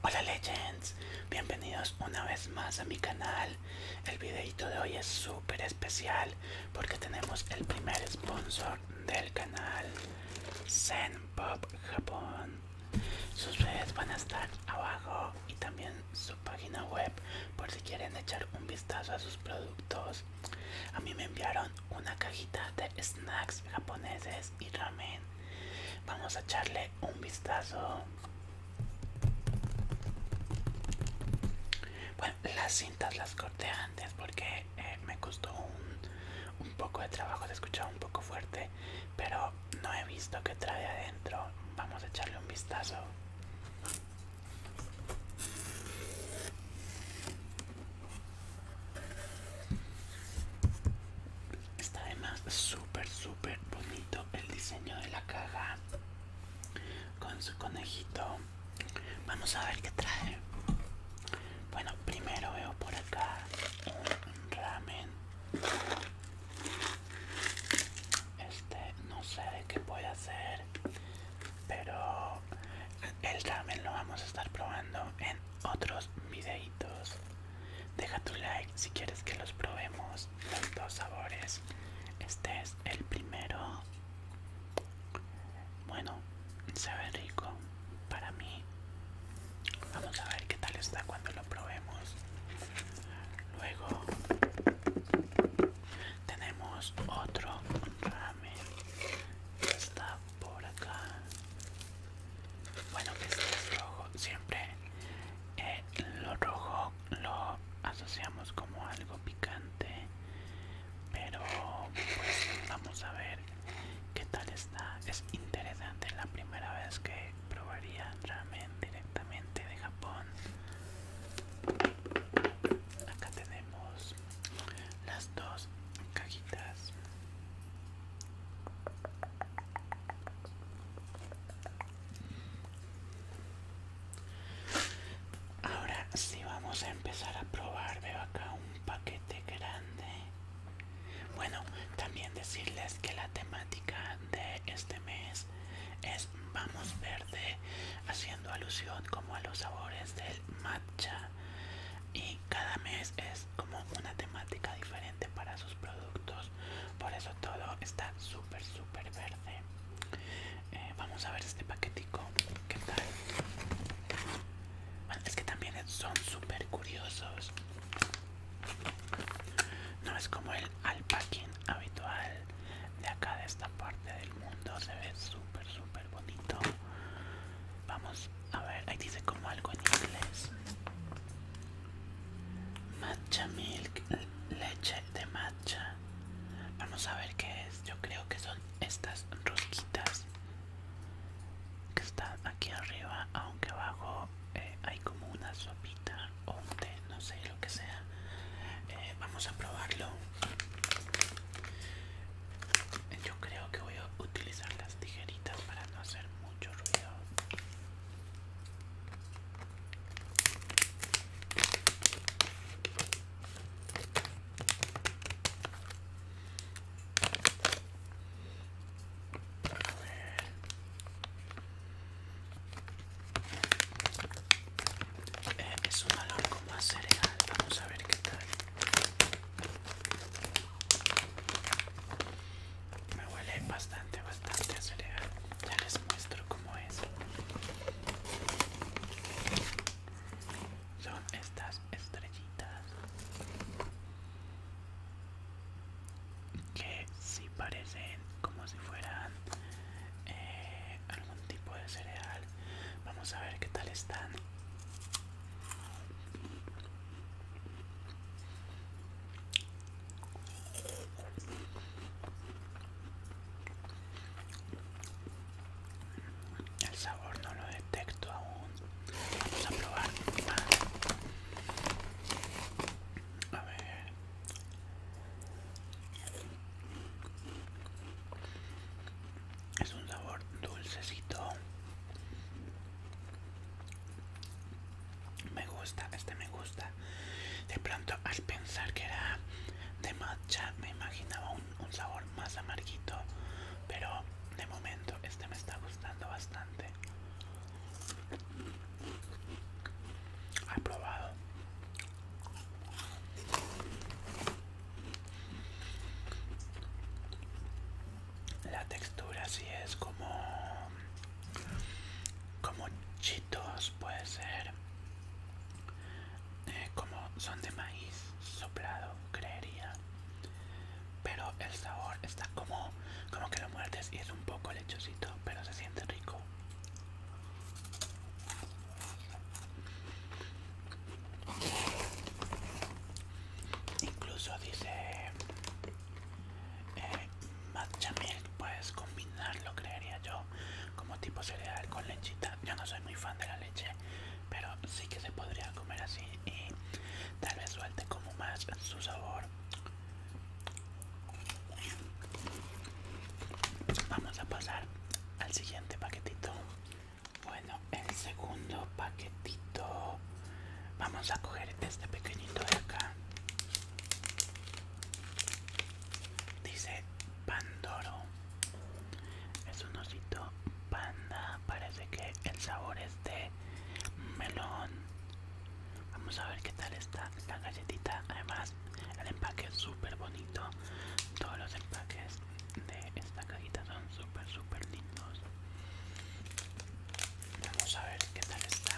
Hola Legends, bienvenidos una vez más a mi canal. El videito de hoy es súper especial porque tenemos el primer sponsor del canal, Zenpop Japón. Sus redes van a estar abajo y también su página web por si quieren echar un vistazo a sus productos. A mí me enviaron una cajita de snacks japoneses y ramen Vamos a echarle un vistazo. Bueno, las cintas las corté antes porque eh, me costó un, poco de trabajo, se escuchaba un poco fuerte, pero no he visto que trae adentro. Vamos a echarle un vistazo. Está además súper, súper bonito el diseño de la caja con su conejito. Vamos a ver qué trae. Bueno, primero veo por acá un ramen. Este no sé de qué puede hacer, pero el ramen lo vamos a estar probando en otros videitos. Deja tu like si quieres que los probemos los dos sabores. Este es el primero. Bueno, se ve rico para mí. Vamos a ver qué tal está cuando lo probemos. Luego tenemos otro ramen. Está por acá bueno que este es rojo siempre eh, lo rojo lo asociamos como algo picante pero pues, vamos a ver qué tal está es interesante la primera vez que probaría ramen directamente de Japón acá tenemos las dos cajitas Ahora sí vamos a empezar a probar. Veo acá un paquete grande. Bueno, también decirles que la temática de este mes es Vamos Verde, haciendo alusión como a los sabores del matcha. Y cada mes es como una temática diferente para sus productos por eso todo está súper súper verde eh, vamos a ver este paquetico qué tal es que también son súper curiosos no es como el alpacking habitual de acá de esta parte del mundo se ve súper súper bonito Vamos a ver, ahí dice como algo en inglés. Matcha milk, leche de matcha. Vamos a ver qué es. Yo creo que son estas rosquitas que están aquí arriba, aunque abajo eh, hay como una sopita o un té, no sé lo que sea. Eh, vamos a probarlo. Yo creo que voy a utilizar las tijeritas para no hacer mucho ruido. Eh, es un olor más a cereal, vamos a ver qué tal. Me huele bastante, bastante cereal. Ya les muestro cómo es. Son estas estrellitas que si parecen como si fueran eh, algún tipo de cereal. Vamos a ver qué tal están. El sabor no lo detecto aún. Vamos a probar A ver es un sabor dulcecito me gusta este me gusta de pronto al pensar que era de matcha me imaginaba un, sabor más amarguito pero de momento este me está gustando bastante aprobado la textura sí es como como chitos puede ser eh, como son de maíz soplado creería pero el sabor está como como que lo muertes y es un poco lechosito pero se siente rico Incluso dice eh, matcha milk, puedes combinarlo, creería yo, como tipo cereal con lechita. Yo no soy muy fan de la leche, pero sí que se podría comer así y tal vez suelte como más su sabor. Vamos a pasar al siguiente paquetito bueno, el segundo paquetito. Vamos a coger este pequeñito de acá. Dice Pandoro. Es un osito panda. Parece que el sabor es de melón. Vamos a ver qué tal está la galletita. Además, el empaque es súper bonito. Todos los empaques de esta cajita son super super lindos vamos a ver qué tal está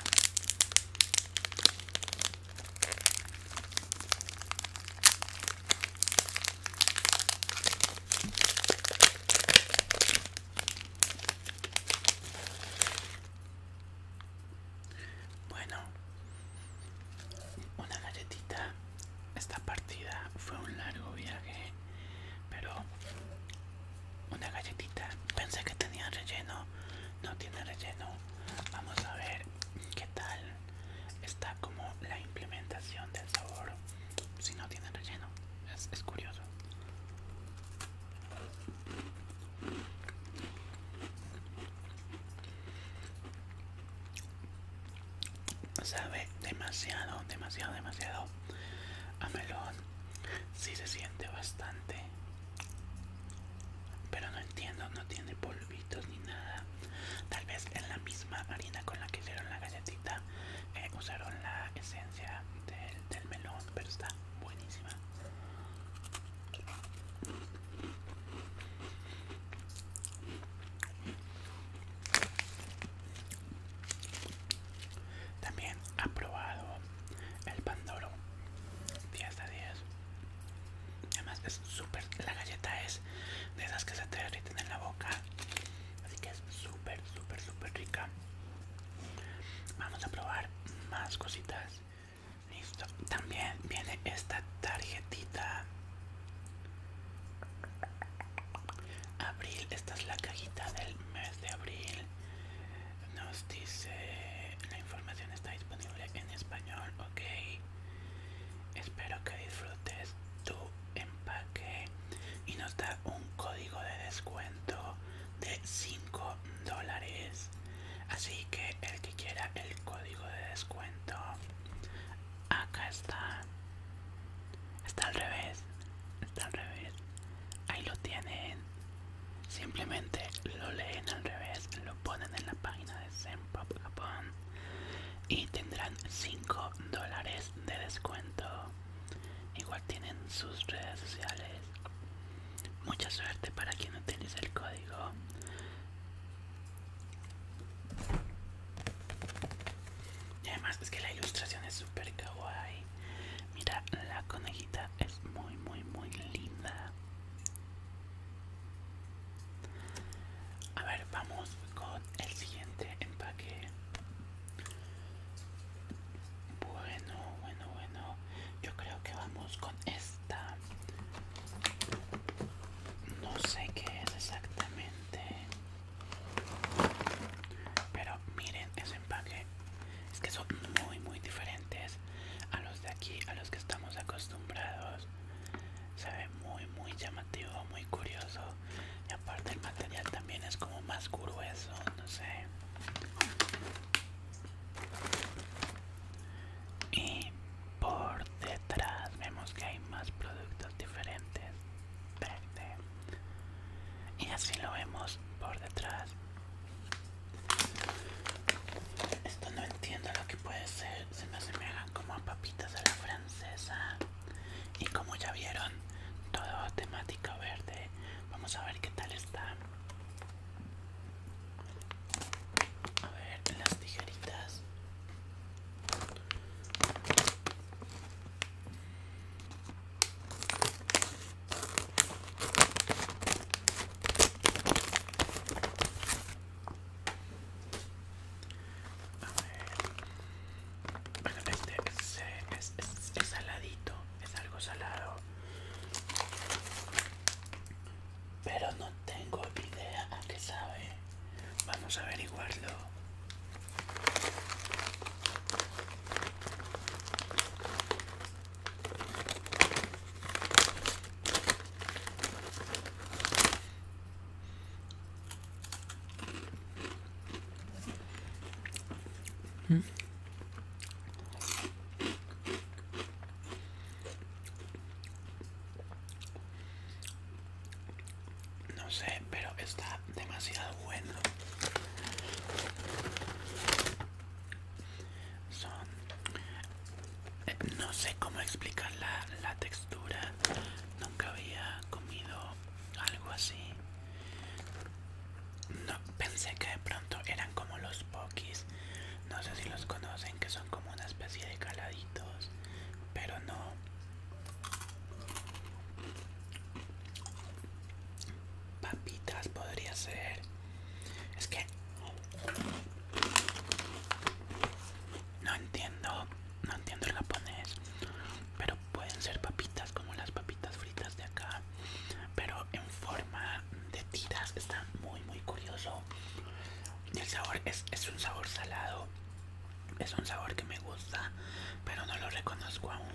bueno una galletita esta partida fue un largo viaje, pero una galletita. Pensé que tenía relleno, no tiene relleno. Vamos a ver qué tal está como la implementación del sabor. Si no tiene relleno, es, curioso sabe demasiado, demasiado, demasiado a melón. si se siente bastante, pero no entiendo, no tiene polvitos ni nada. Tal vez en la misma harina con la que hicieron la galletita eh, usaron la esencia del, del melón, pero está buenísima. También ha probado el Pandoro 10 a 10. Además es súper, la galleta es de esas que se te derriten en la boca. Así que es súper, súper, súper rica. Vamos a probar más cositas. Listo. También viene esta tarjetita Abril, esta es la cajita del mes de abril. Nos dice la información está disponible en español, ok. Espero que disfrutes tu empaque y nos da un código de descuento de 5 dólares. Así que el que quiera el código de descuento acá está está al revés está al revés ahí lo tienen simplemente lo leen al revés lo ponen en la página de Zenpop y tendrán 5 dólares de descuento igual tienen sus redes sociales mucha suerte para quien utilice el código y además es que la ilustración es súper kawaii. Mira, la conejita es muy, muy, muy linda. A ver, vamos con el siguiente empaque. Bueno, bueno, bueno. Yo creo que vamos con este no sé qué es exactamente pero miren ese empaque es que son muy muy diferentes a los de aquí a los que estamos acostumbrados se ve muy muy llamativo muy curioso y aparte el material también es como más grueso no sé y por detrás vemos que hay más productos diferentes verde y así lo vemos por detrás esto no entiendo lo que puede ser se me asemejan como a papitas a la francesa y como ya vieron todo temática verde vamos a ver qué tal está a ver, las tijeritas. A ver. Bueno, este es, eh, es saladito, es algo salado pero no tengo idea a qué sabe. Vamos a averiguarlo. No sé, pero está demasiado bueno. Eh, no sé cómo explicar la, textura. Nunca había comido algo así. pensé que de pronto eran como los pokis no sé si los conocen que son como una especie de caladitos pero no papitas podría ser es que no entiendo no entiendo el japonés pero pueden ser papitas como las papitas fritas de acá pero en forma de tiras está muy muy curioso el sabor es un sabor salado es un sabor que me gusta pero no lo reconozco aún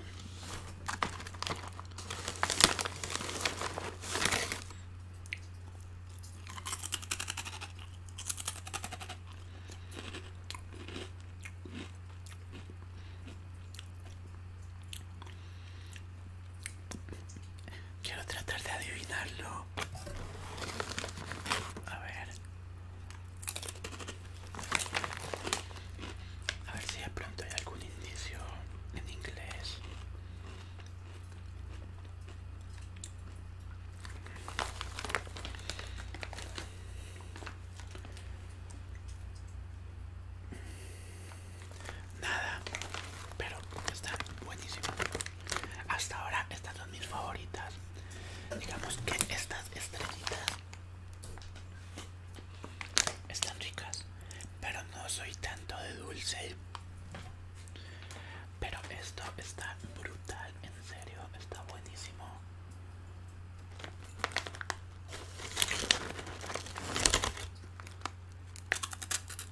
Quiero tratar de adivinarlo. A ver. A ver si de pronto hay algún indicio en inglés nada pero está buenísimo hasta ahora estas son mis favoritas digamos que estas estrellitas están ricas pero no soy tanto de dulce pero esto está brutal en serio está buenísimo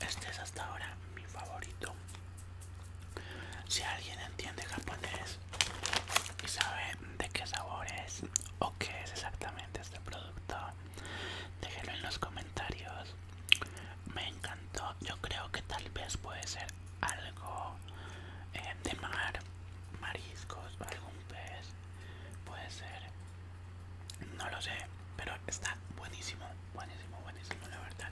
Este es hasta ahora mi favorito. Si alguien entiende japonés y sabe de qué sabor es o qué es exactamente este producto, déjelo en los comentarios. Me encantó. Yo creo que tal vez puede ser algo eh, de mar, mariscos, algún pez. Puede ser no lo sé, pero está buenísimo, buenísimo, buenísimo, la verdad.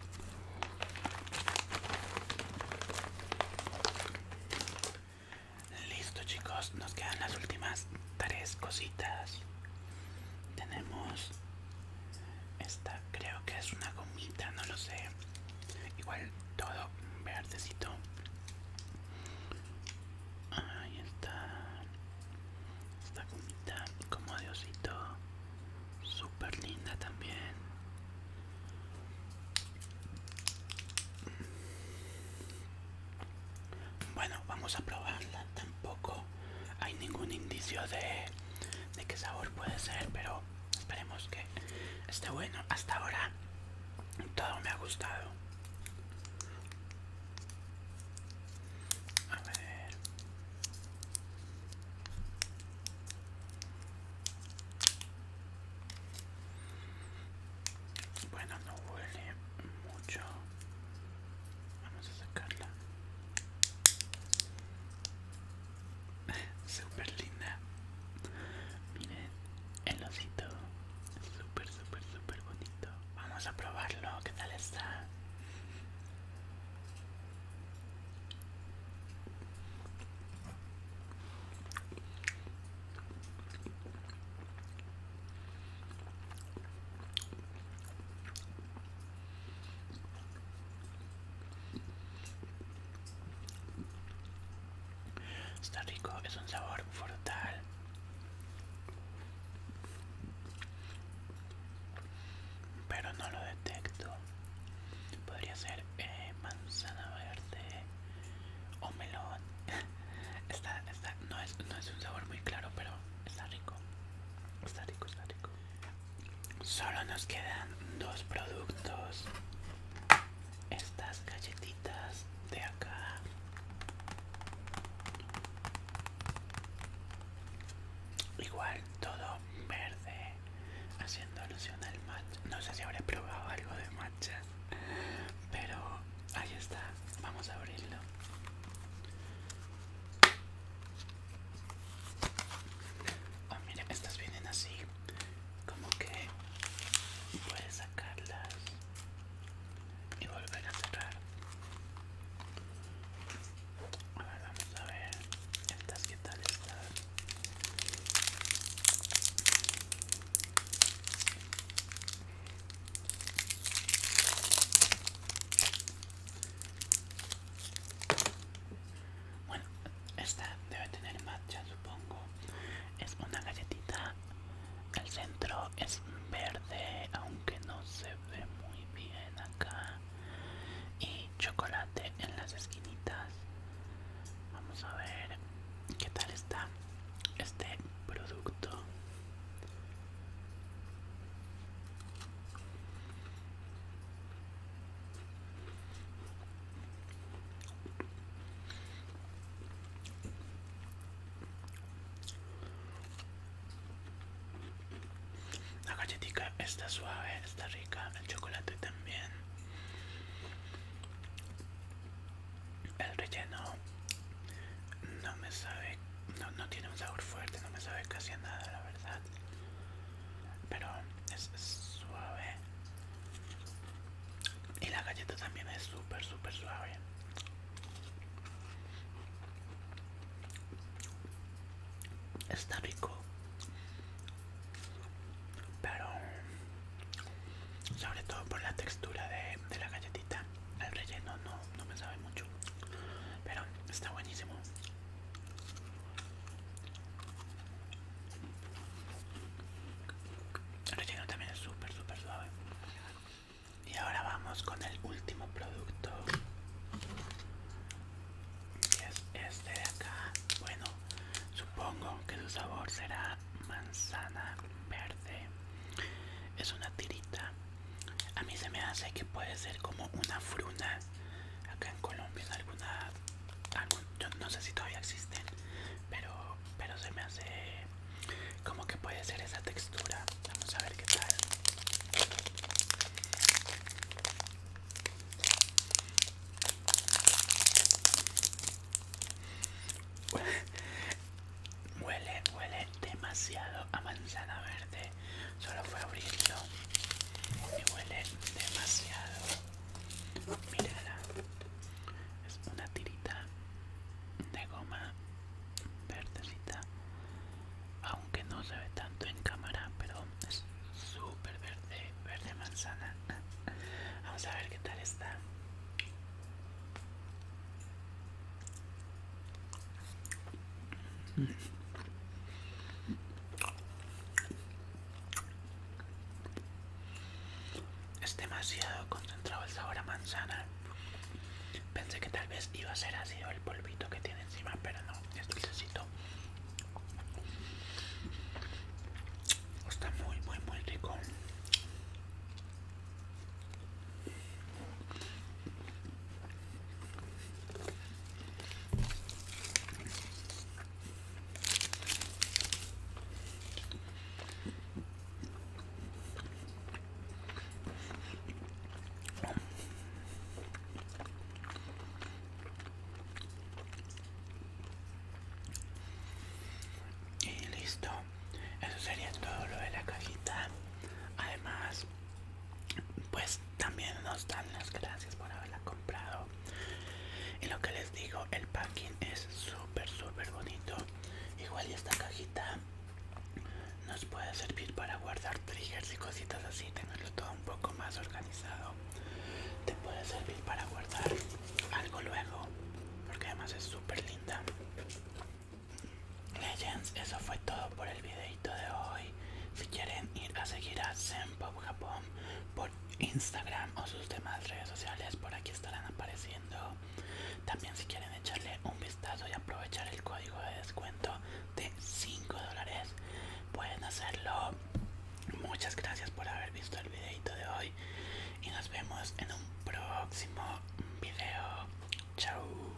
Listo chicos, nos quedan las últimas tres cositas. Tenemos esta, creo que es una gomita, no lo sé. Igual todo verdecito. Ahí está esta gomita como de osito super linda también bueno vamos a probarla tampoco hay ningún indicio de, de qué sabor puede ser pero esperemos que esté bueno hasta ahora todo me ha gustado bueno, no huele mucho. Vamos a sacarla. Super linda. Miren el osito. Super súper, súper bonito. Vamos a probarlo. ¿Qué tal está? Está rico, es un sabor frutal pero no lo detecto podría ser eh, manzana verde o melón no, es, no es un sabor muy claro pero está rico está rico está rico solo nos quedan dos productos estas galletitas de acá Igual todo verde, haciendo alusión al match No sé si habré probado algo de matcha, pero ahí está. Vamos a abrirlo. oh, estas vienen así, como que puedes sacarlas y volver a cerrar a ver vamos a ver estas ¿qué tal están bueno esta debe tener matcha supongo es una galletita el centro es verde, aunque no se ve muy bien acá. Y chocolate en las esquinitas. Vamos a ver qué tal está este producto. La galletita está suave, está rica, el chocolate también. El relleno no me sabe, no, tiene un sabor fuerte, no me sabe casi nada, la verdad. Pero es suave y la galleta también es súper súper suave está rico pero sobre todo por la textura de, la galletita el relleno no, no me sabe mucho pero está buenísimo el relleno también es súper, súper suave. Y ahora vamos con el último producto. que es este de acá. Bueno, supongo que su sabor será manzana verde. Es una tirita. A mí se me hace que puede ser como una fruna. Acá en Colombia en alguna... yo no sé si todavía existen, pero, pero se me hace como que puede ser esa textura. Vamos a ver qué tal. Huele, huele demasiado a manzana verde. Solo fue abrirlo y huele demasiado. Mírala, es una tirita de goma verdecita aunque no se ve tanto en cámara pero es súper verde verde manzana vamos a ver qué tal está es demasiado concentrado el sabor a manzana. Pensé que tal vez iba a ser ácido el polvito que tiene encima, pero no, es dulcecito. Está muy, muy, muy rico. Y listo, eso sería todo lo de la cajita. Además, pues también nos dan las gracias por haberla comprado y lo que les digo el packing es súper súper bonito igual y esta cajita nos puede servir para guardar triggers y cositas así tenerlo todo un poco más organizado te puede servir para guardar algo luego porque además es súper linda Legends, eso fue todo por el videito de hoy. Si quieren ir a seguir a Zenpop Japón por Instagram o sus demás redes sociales, por aquí estarán apareciendo. También si quieren echarle un vistazo y aprovechar el código de descuento de 5 dólares, pueden hacerlo. Muchas gracias por haber visto el videito de hoy y nos vemos en un próximo video. Chao.